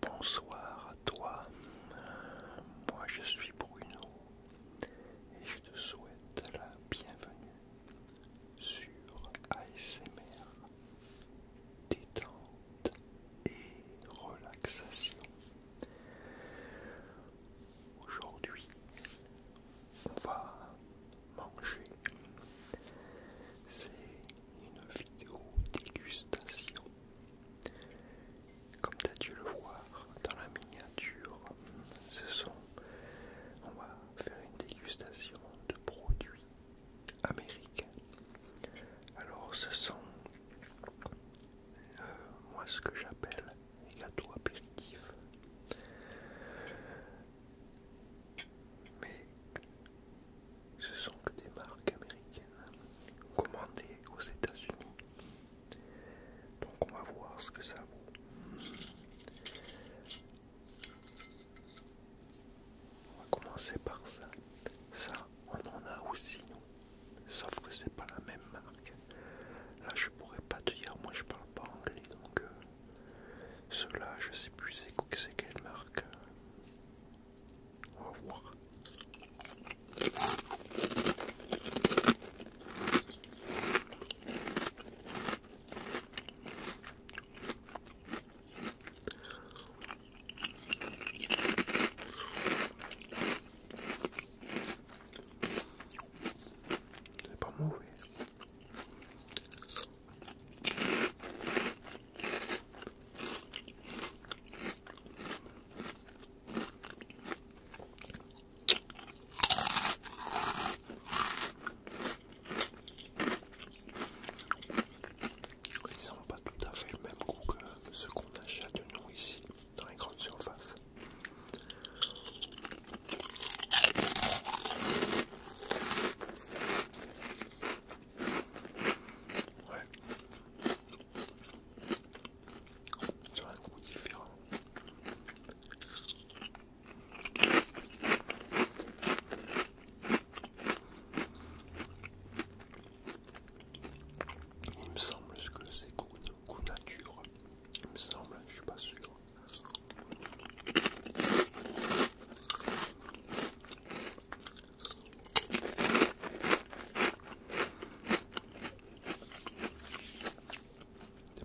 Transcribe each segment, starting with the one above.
Bonsoir à toi, moi je suis Bruno et je te souhaite la bienvenue sur ASMR détente et relaxation. Aujourd'hui, on va manger. C'est une vidéo dégustation. Comme tu as dû le voir dans la miniature, ce sont, on va faire une dégustation de produits américains. Alors ce sont, euh, moi ce que j'appelle les gâteaux apéritifs mais ce sont que des marques américaines hein, commandées aux États-Unis. Donc on va voir ce que ça vaut. On va commencer par ça. Ça, on en a aussi, nous. Sauf que c'est pas la même marque. Là, je pourrais pas te dire, moi je parle pas anglais, donc euh, cela, je sais plus c'est quoi, c'est quelle marque. On va voir. C'est pas mauvais. Ils n'ont pas tout à fait le même goût que ce qu'on achète nous ici dans les grandes surfaces. Ouais. c'est un goût différent. Il me semble que c'est goût, goût nature. Il me semble, je suis pas sûr. C'est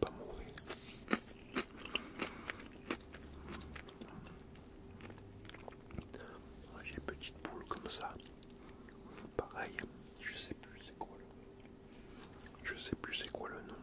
pas mauvais. J'ai petite boule comme ça. Pareil, je sais plus c'est quoi le. Je sais plus c'est quoi le nom.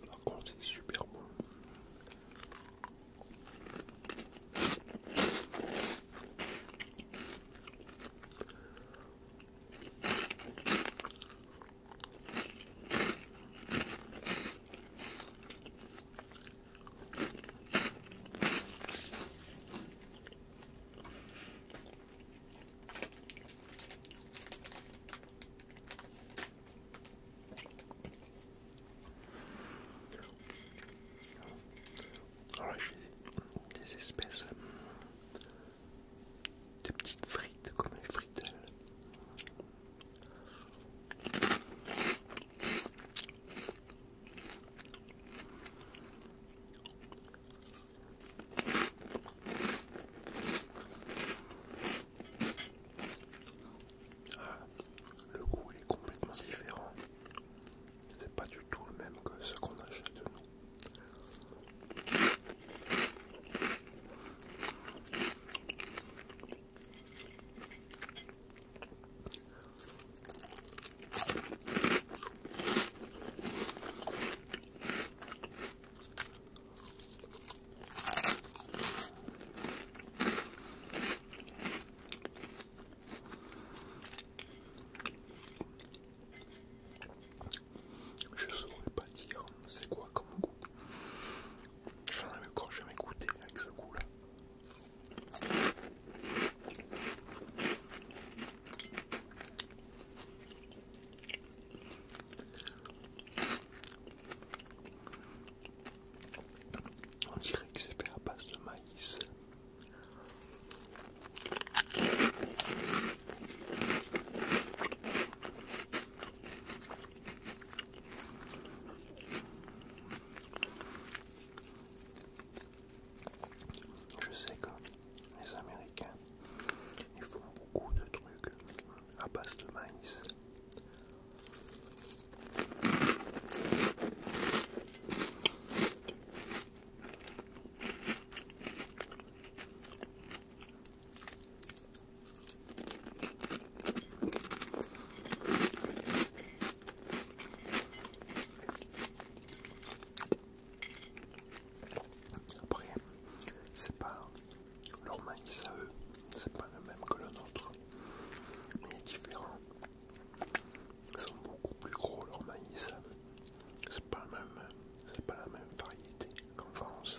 Par contre, c'est super bon j'ai des espèces de petites frites comme les frites ah, le goût est complètement différent. C'est pas du tout le même que ce qu'on achète de nous. Je saurais pas dire c'est quoi comme goût. J'en avais encore jamais goûté avec ce goût là. On dirait que c'est fait à base de maïs. Je sais que les Américains, ils font beaucoup de trucs à bas de maïs. Après, c'est pas leur maïs à eux, c'est pas le même que le nôtre, mais différent. Ils sont beaucoup plus gros leur maïs à eux, c'est pas, pas la même variété qu'en France.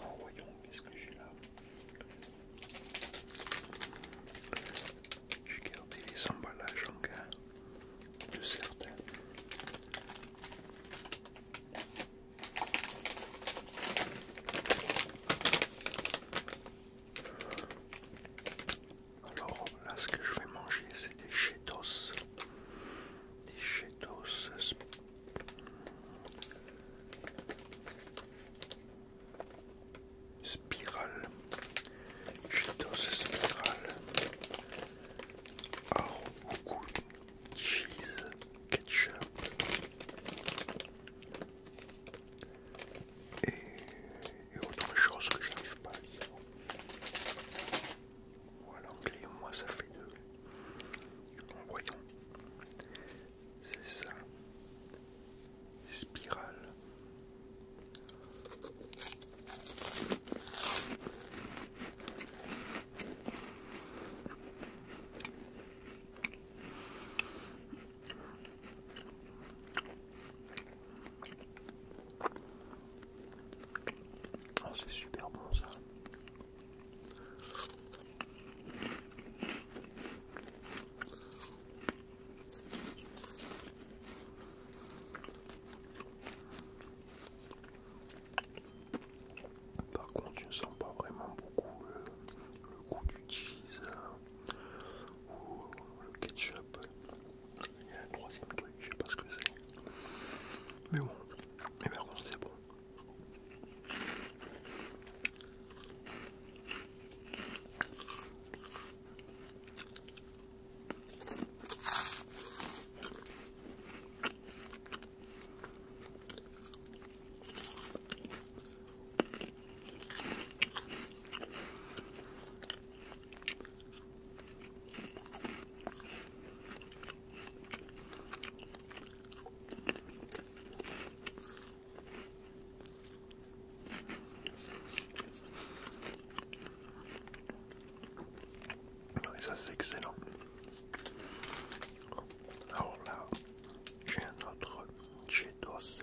Oh, voyons, ce que j'ai là J'ai gardé les emballages en cas de certains. Alors là, ce que je vais manger, c'est des chetos. Des chetos. Spirale. Cheetos spirales, ah, cheese, ketchup et, autre chose que je n'arrive pas à lire. Voilà, l'anglais, moi ça fait deux. Voyons, c'est ça. Spirale. Oh, c'est super bon ça. Par contre, je ne sens pas vraiment beaucoup le, le goût du cheese. Hein le ketchup. Il y a un troisième truc, je sais pas ce que c'est. Mais bon, mais par c'est bon. Et ah ça c'est excellent. Alors là, j'ai un autre Cheetos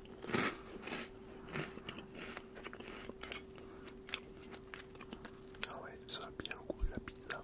Ah ouais, ça a bien goût de la pizza.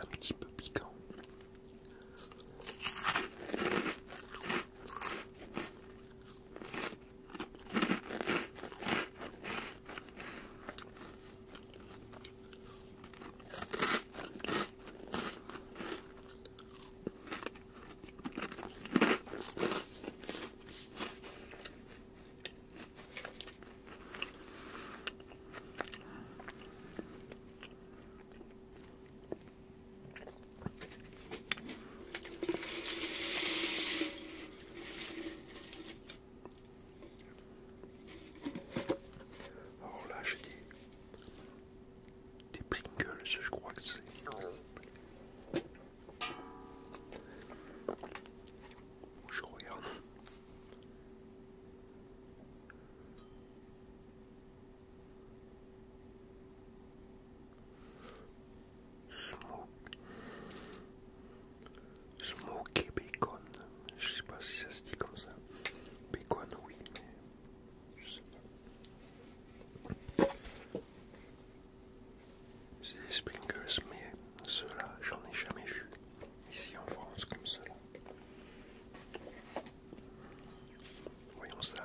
un petit peu piquant. Alors oh, là, j'ai des, des Pringles, je crois que c'est. Je regarde. Smoke. Smoke bacon. Je sais pas si ça se dit comme ça. Bacon, oui, mais je sais pas. C'est des sprinkles, mais ceux-là, j'en ai jamais vu ici en France comme cela. Voyons ça.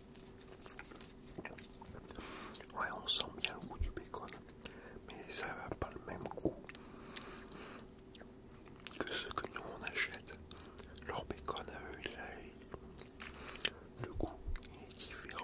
Ouais, on sent bien le goût du bacon, mais ça n'a pas le même goût que ce que nous on achète. Leur bacon a eux, le goût est différent.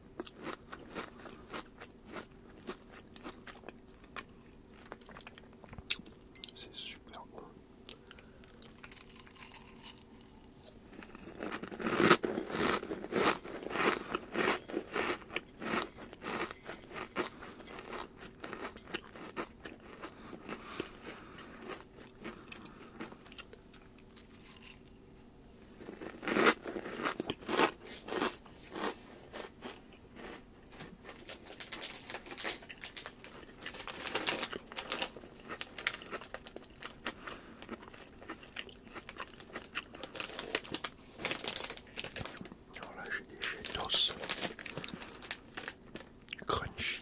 C'est super bon. Alors là, j'ai des jets d'os crunchy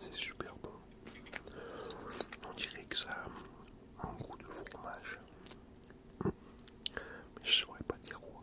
C'est super bon. On dirait que ça a un goût de fromage. Mais je saurais pas dire quoi.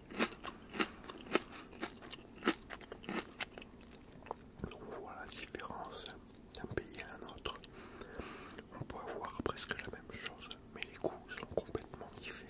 On voit la différence d'un pays à un autre. On peut avoir presque la même chose, mais les coûts sont complètement différents.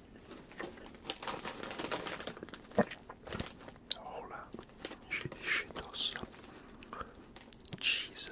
Oh là, j'ai des cheetos. Cheese.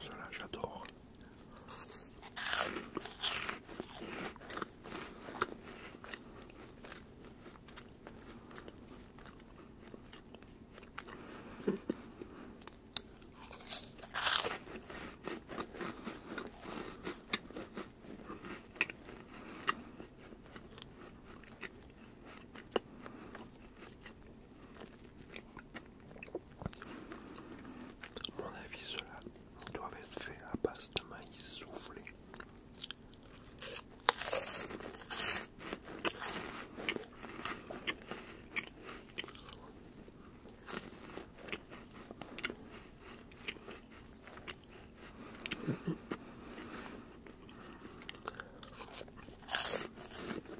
Cela, j'adore mon avis, cela doit être fait à base de maïs soufflé.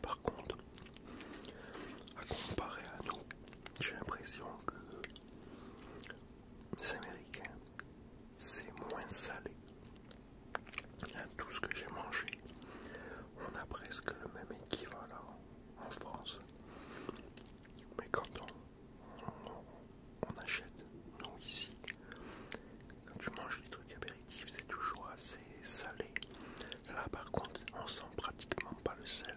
Par contre, à comparer à nous, j'ai l'impression que les Américains, c'est moins salé. tout ce que j'ai mangé, on a presque le même équivalent en France. Mais quand on, on achète, nous ici, quand tu manges des trucs américains, c'est toujours assez salé. Là, par contre, on sent pratiquement pas le sel.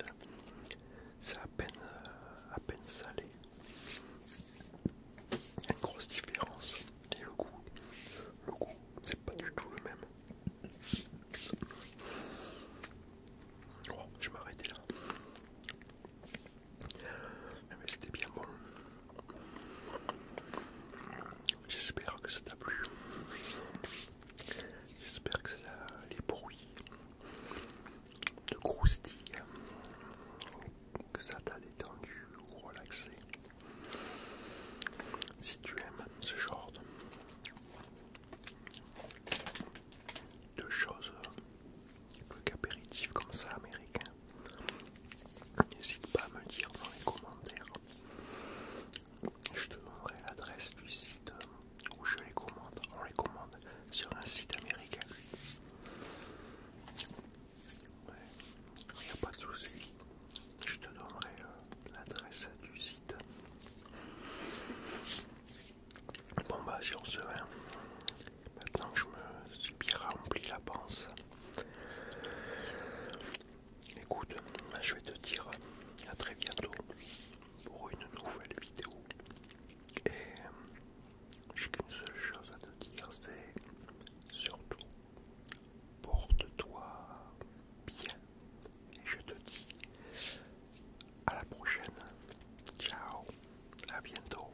C'est à peine, euh, à peine salé. une grosse différence. Et le goût, le goût, c'est pas du tout le même. Oh, je m'arrêtais là. Mais c'était bien bon. J'espère que ça t'a plu. J'espère que ça, les bruits de croustilles, que ça t'a détendu ou relaxé. Si tu aimes ce genre de, choses, peu comme ça américain, n'hésite pas à me dire dans les commentaires je te donnerai l'adresse du site euh, où je les commande. On les commande sur un site américain. Il n'y a pas de souci. Je te donnerai euh, l'adresse du site. Bon bah sur se va. maintenant que je me suis bien rempli la panse, Écoute, je vais te dire à très bientôt pour une nouvelle vidéo. Et j'ai qu'une seule chose à te dire, c'est surtout porte-toi bien. Et je te dis à la prochaine. Ciao, à bientôt.